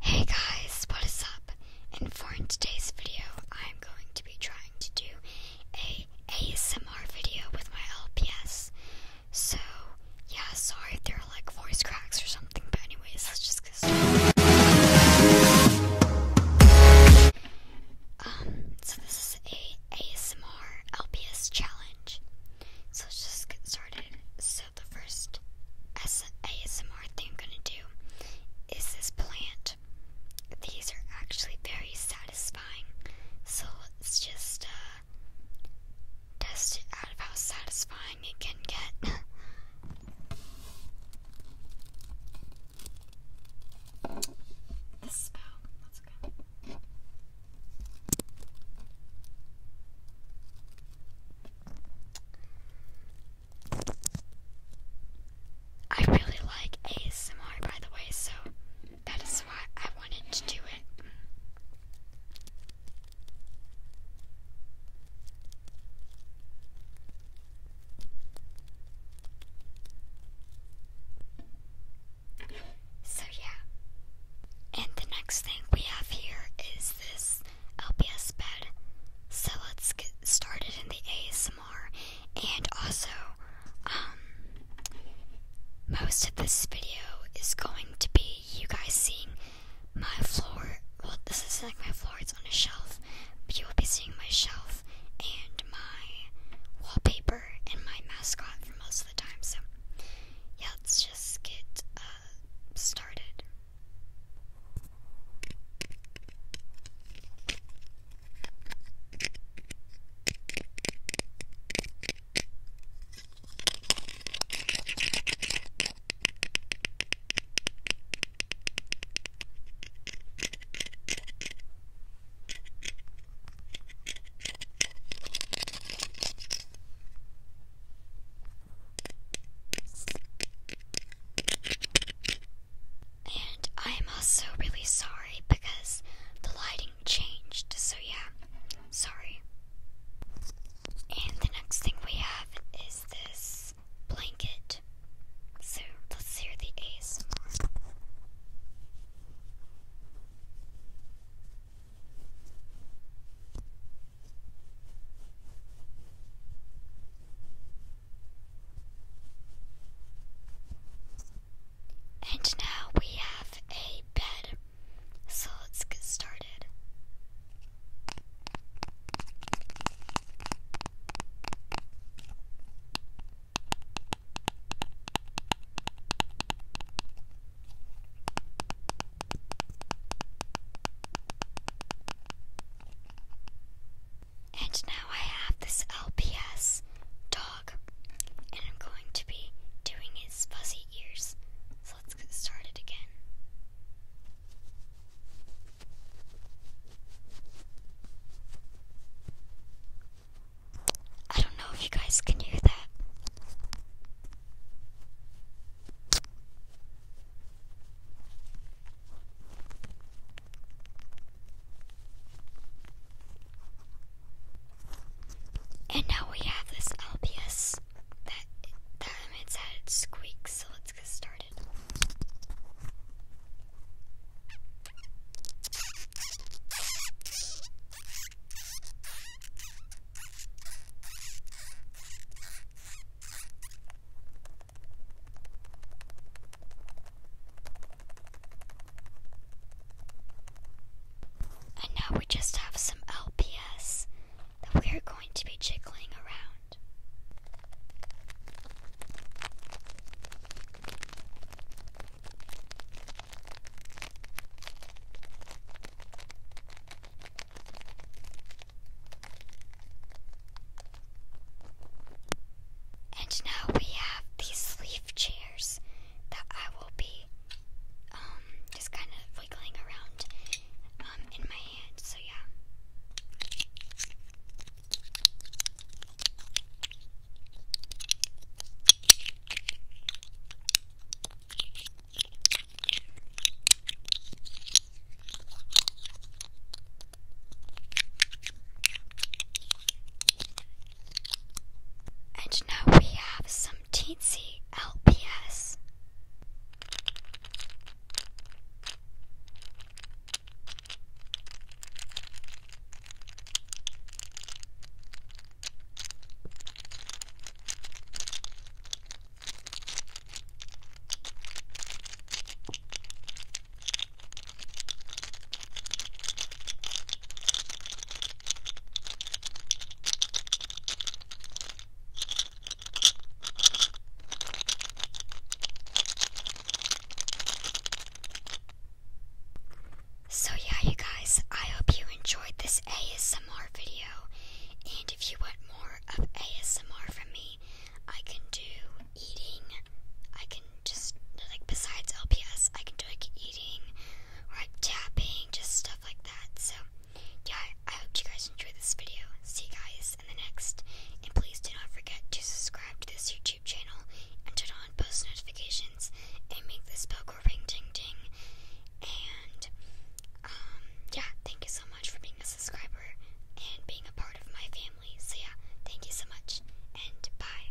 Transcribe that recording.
Hey guys, what is up? And for today's video, I'm going to be trying to do a ASMR video with my LPS. So, yeah, sorry there are like voice cracks or something, but anyways, let's just get started. Um, so this is a ASMR LPS challenge. So let's just get started. So the first ASMR thing I'm gonna do is this plant. These are actually very satisfying. So let's just uh, test it out of how satisfying it can get. the spell. Let's go. I really like ASMR, by the way, so that is why I wanted to do it. So yeah. And the next thing we have here is this LPS bed. So let's get started in the ASMR. And also, um, most of this video is going to be you guys seeing my floor. Well, this is like my floor, it's on a shelf. But you will be seeing my shelf and my wallpaper and my mascot from Los so, yeah, let's just get uh, started. And I'm also really sorry because the lighting changed, so yeah, sorry. And the next thing we have is this blanket. So let's hear the A's. And now we have a bed, so let's get started. And now I have this LPS dog, and I'm going to be doing his fuzzy ears. So let's get started again. I don't know if you guys can hear that. And now we have this LPS that that emits added squeak, so let's get started. And now we just have some LPS that we are going to be jiggling around. And now we have these leaf chairs that I will be um, just kind of wiggling around um, in my hand. So, yeah. And now we have some some teensy LPS. So yeah you guys, I hope you enjoyed this ASMR video. And if you want more of ASMR from me, I can do eating. I can just like besides LPS, I can do like eating, or tapping, just stuff like that. So, yeah, I hope you guys enjoyed this video. See you guys in the next. And please do not forget to subscribe to this YouTube channel and turn on post notifications and make this bell go ring ding ding. And, um, yeah, thank you so much for being a subscriber and being a part of my family. So, yeah, thank you so much and bye.